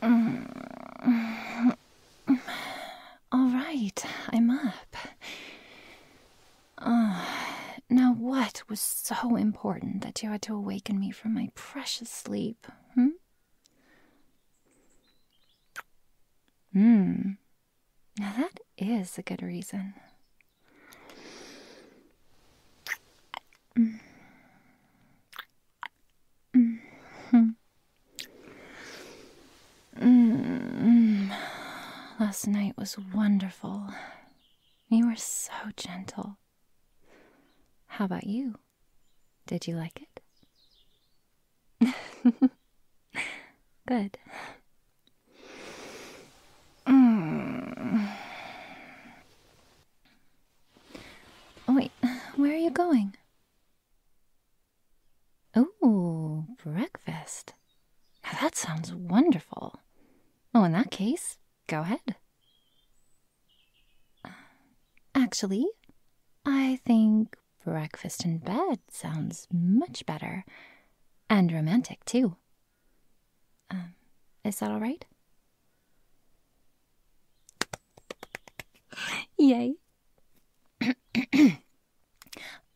All right, I'm up. Ah, now what was so important that you had to awaken me from my precious sleep. Hmm? Hmm. Now that is a good reason. Mm. -hmm. -hmm. Last night was wonderful. You were so gentle. How about you? Did you like it? Good. Oh Wait, where are you going? Oh, breakfast. Now that sounds wonderful. Oh, in that case, Go ahead. Actually, I think breakfast in bed sounds much better and romantic too. Um, is that all right? Yay.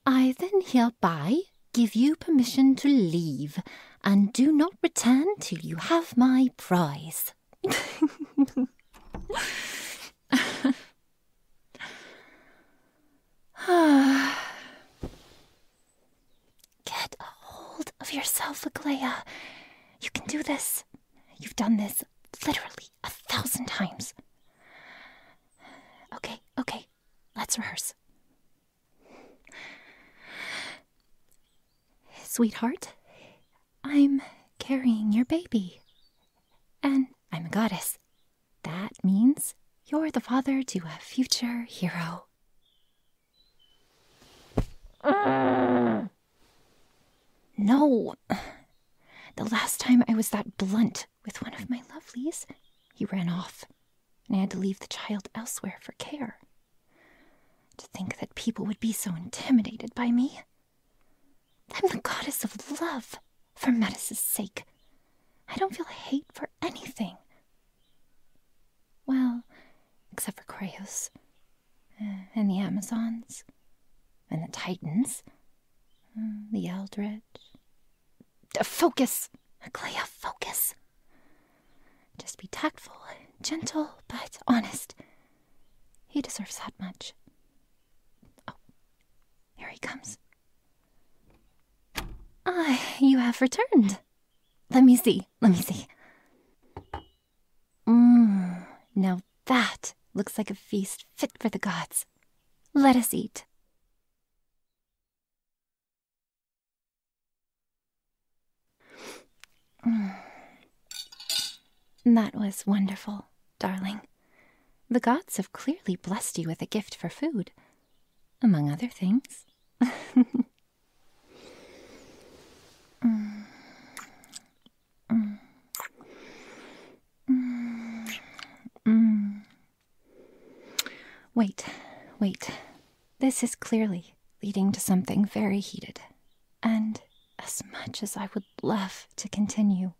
I then hereby give you permission to leave, and do not return till you have my prize. Get a hold of yourself, Aglaya. You can do this. You've done this literally a thousand times. Okay, okay, let's rehearse. Sweetheart, I'm carrying your baby. And I'm a goddess. That means you're the father to a future hero. no! The last time I was that blunt with one of my lovelies, he ran off and I had to leave the child elsewhere for care. To think that people would be so intimidated by me. I'm the goddess of love, for Metis' sake. I don't feel hate for anything. Well, except for Kraos, uh, and the Amazons, and the Titans, uh, the Eldritch, Focus, Clea, focus. Just be tactful, gentle, but honest. He deserves that much. Oh, here he comes. Ah, you have returned. Let me see, let me see. Mmm, now that looks like a feast fit for the gods. Let us eat. That was wonderful, darling. The gods have clearly blessed you with a gift for food, among other things. Mm. Mm. Mm. Wait, wait. This is clearly leading to something very heated. And as much as I would love to continue,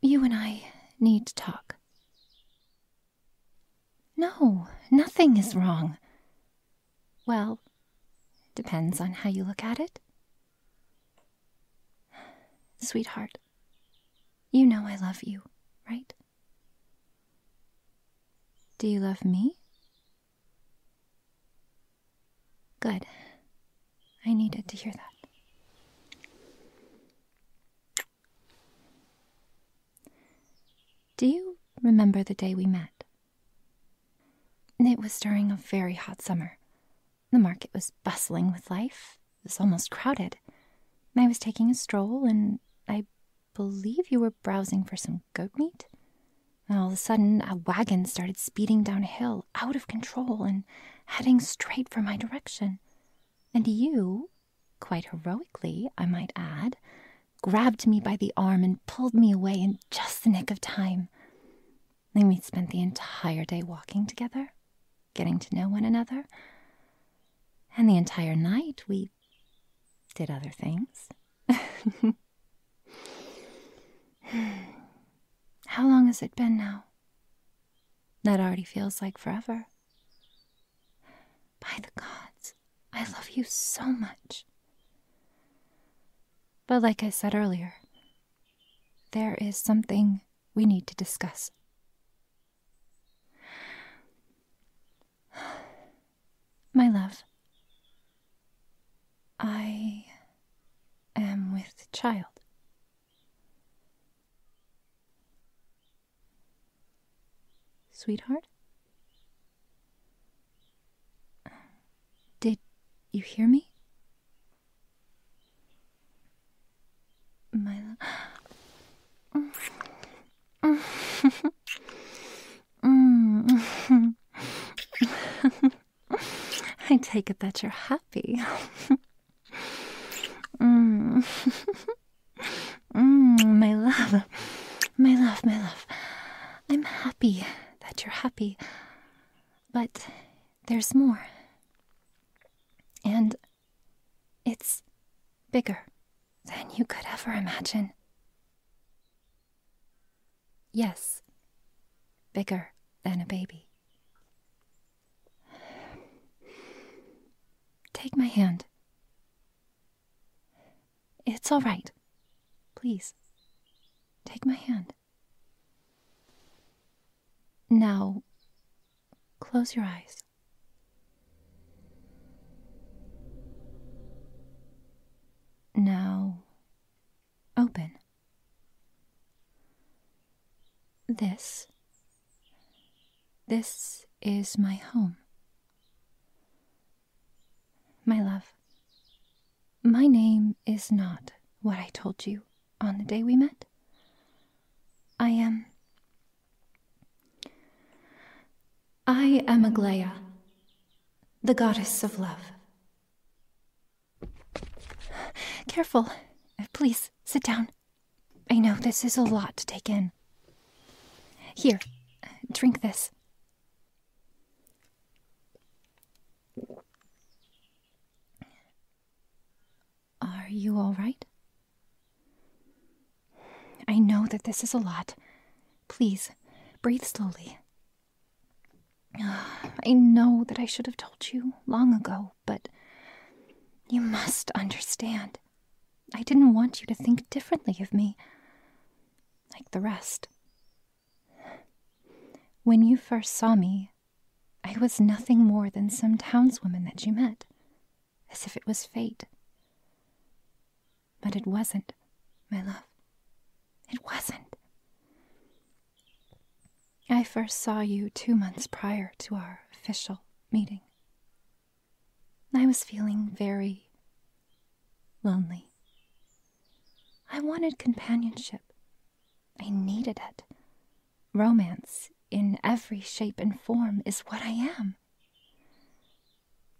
you and I need to talk. No, nothing is wrong. Well, depends on how you look at it. Sweetheart, you know I love you, right? Do you love me? Good. I needed to hear that. Do you remember the day we met? It was during a very hot summer. The market was bustling with life, was almost crowded. I was taking a stroll, and I believe you were browsing for some goat meat. All of a sudden, a wagon started speeding down a hill, out of control, and heading straight for my direction. And you, quite heroically, I might add, grabbed me by the arm and pulled me away in just the nick of time. Then we spent the entire day walking together getting to know one another. And the entire night we did other things. How long has it been now? That already feels like forever. By the gods, I love you so much. But like I said earlier, there is something we need to discuss. My love, I am with the child. Sweetheart? Did you hear me? My love. I take it that you're happy. mm. mm, my love, my love, my love. I'm happy that you're happy. But there's more. And it's bigger than you could ever imagine. Yes, bigger than a baby. Take my hand. It's all right. Please, take my hand. Now, Close your eyes. Now open. This. This is my home. My love, my name is not what I told you on the day we met. I am. I am Aglaia, the goddess of love. Careful. Please, sit down. I know this is a lot to take in. Here, drink this. Are you all right? I know that this is a lot. Please, breathe slowly. I know that I should have told you long ago, but you must understand. I didn't want you to think differently of me, like the rest. When you first saw me, I was nothing more than some townswoman that you met, as if it was fate. But it wasn't, my love. It wasn't. I first saw you two months prior to our official meeting. I was feeling very lonely. I wanted companionship. I needed it. Romance, in every shape and form, is what I am.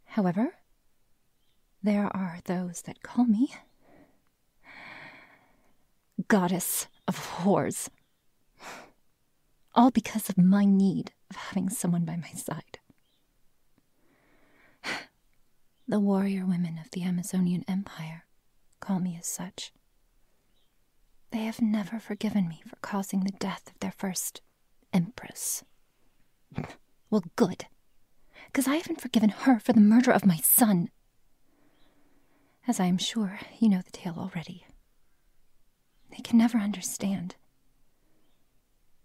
However, there are those that call me goddess of whores. All because of my need of having someone by my side. The warrior women of the Amazonian Empire call me as such. They have never forgiven me for causing the death of their first empress. Well, good. Because I haven't forgiven her for the murder of my son. As I am sure you know the tale already. They can never understand.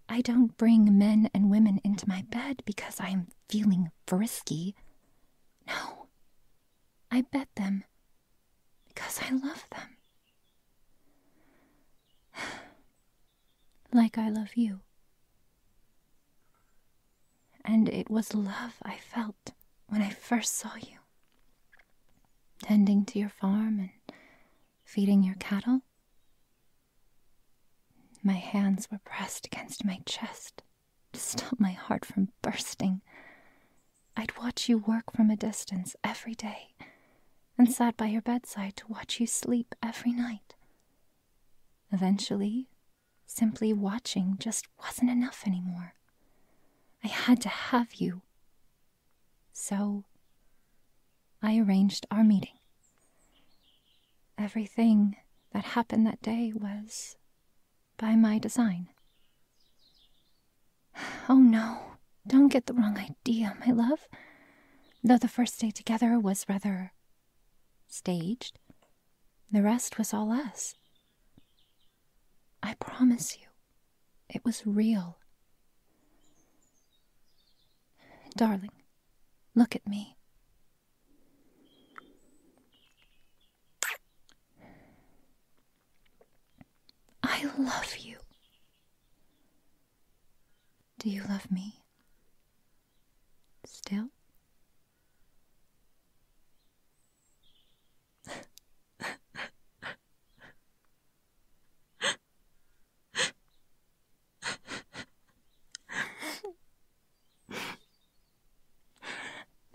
I don't bring men and women into my bed because I am feeling frisky. No, I bet them because I love them. like I love you. And it was love I felt when I first saw you. Tending to your farm and feeding your cattle. My hands were pressed against my chest to stop my heart from bursting. I'd watch you work from a distance every day and sat by your bedside to watch you sleep every night. Eventually, simply watching just wasn't enough anymore. I had to have you. So, I arranged our meeting. Everything that happened that day was by my design. Oh no, don't get the wrong idea, my love. Though the first day together was rather staged, the rest was all us. I promise you, it was real. Darling, look at me. I love you. Do you love me? Still?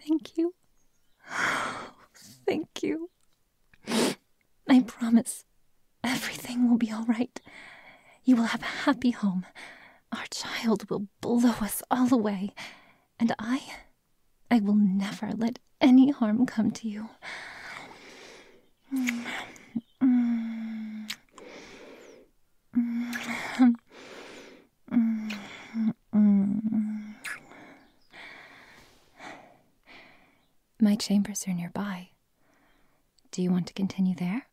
Thank you. Thank you. I promise everything will be all right. You will have a happy home. Our child will blow us all away. And I, I will never let any harm come to you. Mm, mm. My chambers are nearby. Do you want to continue there?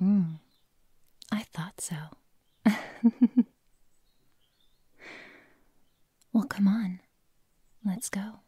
Mm, I thought so. well, come on. Let's go.